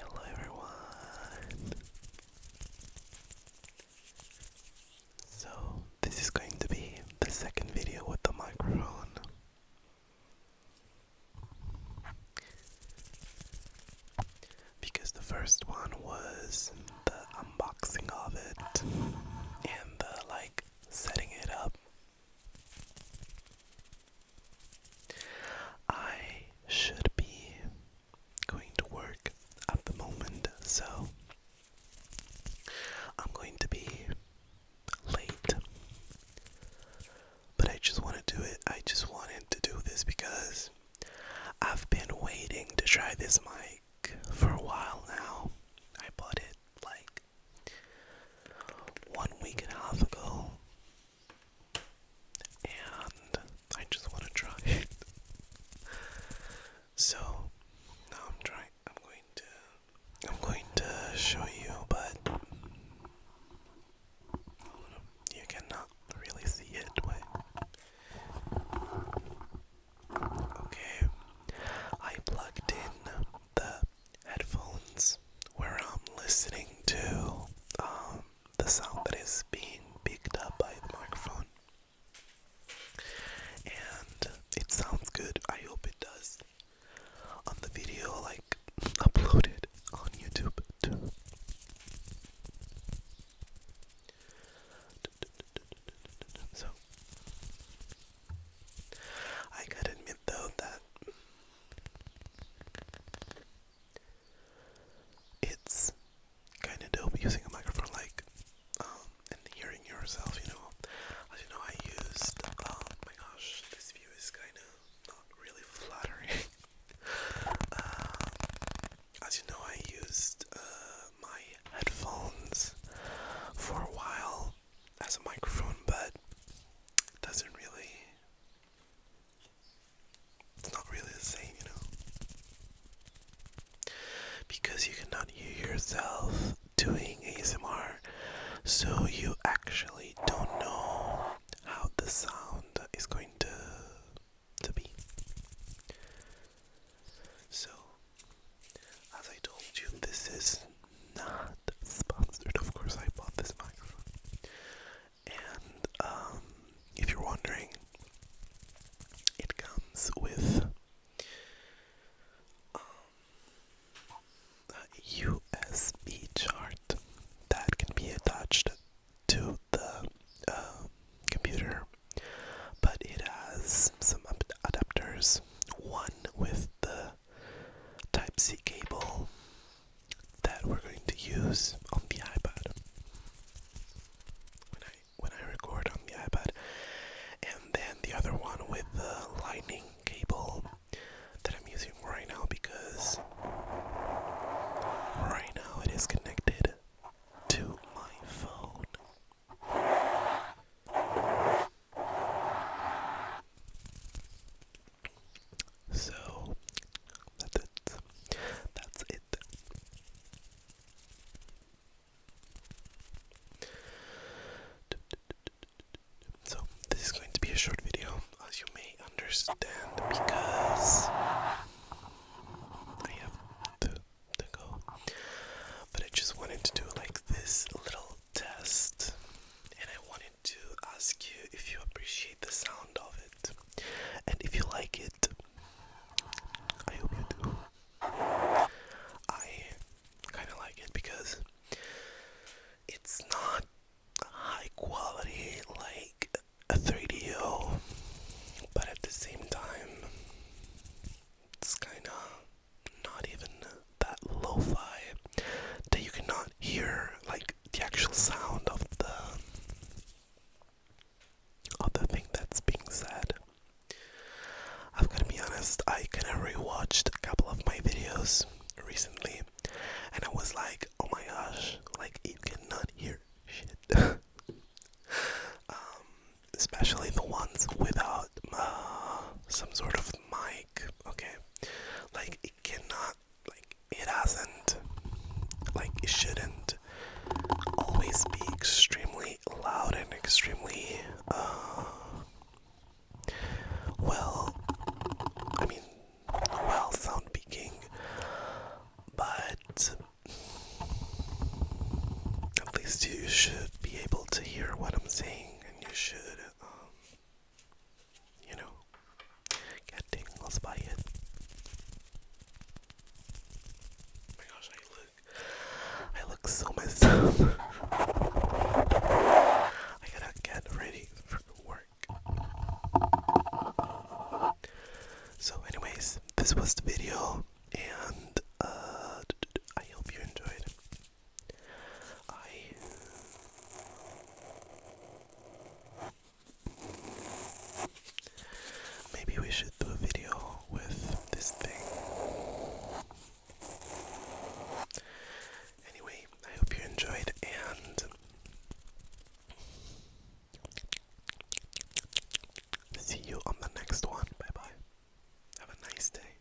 Hello everyone! So, this is going to be the second video with the microphone. Because the first one was the unboxing of it and the like setting it up I should be going to work at the moment, so I'm going to be late. But I just want to do it. I just wanted to do this because I've been waiting to try this mic for a while now. I bought it like one week and a half ago, and I just want to try it. so now I'm trying. I'm going to. I'm going to show you, but you cannot really see it. Wait. Okay, I plugged in the headphones where I'm listening to um, the sound that is being picked up by the microphone. And it sounds good. I hope it does. On the video, like uploaded on YouTube So, I got admit though that it's kind of dope using a microphone like um, and hearing yourself, you know. As you know, I used. Oh my gosh, this view is kind of not really flattering. Uh, as you know, I used uh, my headphones for a while as a microphone, but it doesn't really. It's not really the same, you know? Because you cannot hear yourself doing ASMR, so you actually don't know how the sound is going to, to be. So, as I told you, this is not sponsored. Of course, I bought this microphone. And um, if you're wondering, it comes with um, a USB chart that can be attached to the um, computer, but it has some adapters. One with the Type-C cable that we're going to use on the iPad when I when I record on the iPad, and then the other one with the lightning cable that I'm using right now because right now it is connected to my phone. So that's it. That's it. So this is going to be a short video, as you may understand, because I have to, go. But I just wanted to do like this little test and I wanted to ask you if you appreciate the sound of it and if you like it. I hope you do. I kind of like it because it's not high quality like a 3DO, but at the same time, it's kind of not even that lo that you cannot hear like the actual sound of the of the thing that's being said. i am going to be honest, I kinda rewatched a couple of my videos recently and I was like, oh my gosh, like you cannot hear shit. um, especially the ones without uh, some sort of mic, okay? Like, it cannot, like, it hasn't, like, it shouldn't always be extremely loud and extremely, uh, well, I mean, well, sound peaking, but at least you should be able to hear what I'm saying, and you should um, you know, get tingles by it. Oh my gosh, I look, I look so messed up. I gotta get ready for work. So, anyways, this was the video, and uh, I hope you enjoyed. I maybe we should do a video with this thing. Anyway, I hope you enjoyed and see you on the next one. Bye bye. Have a nice day.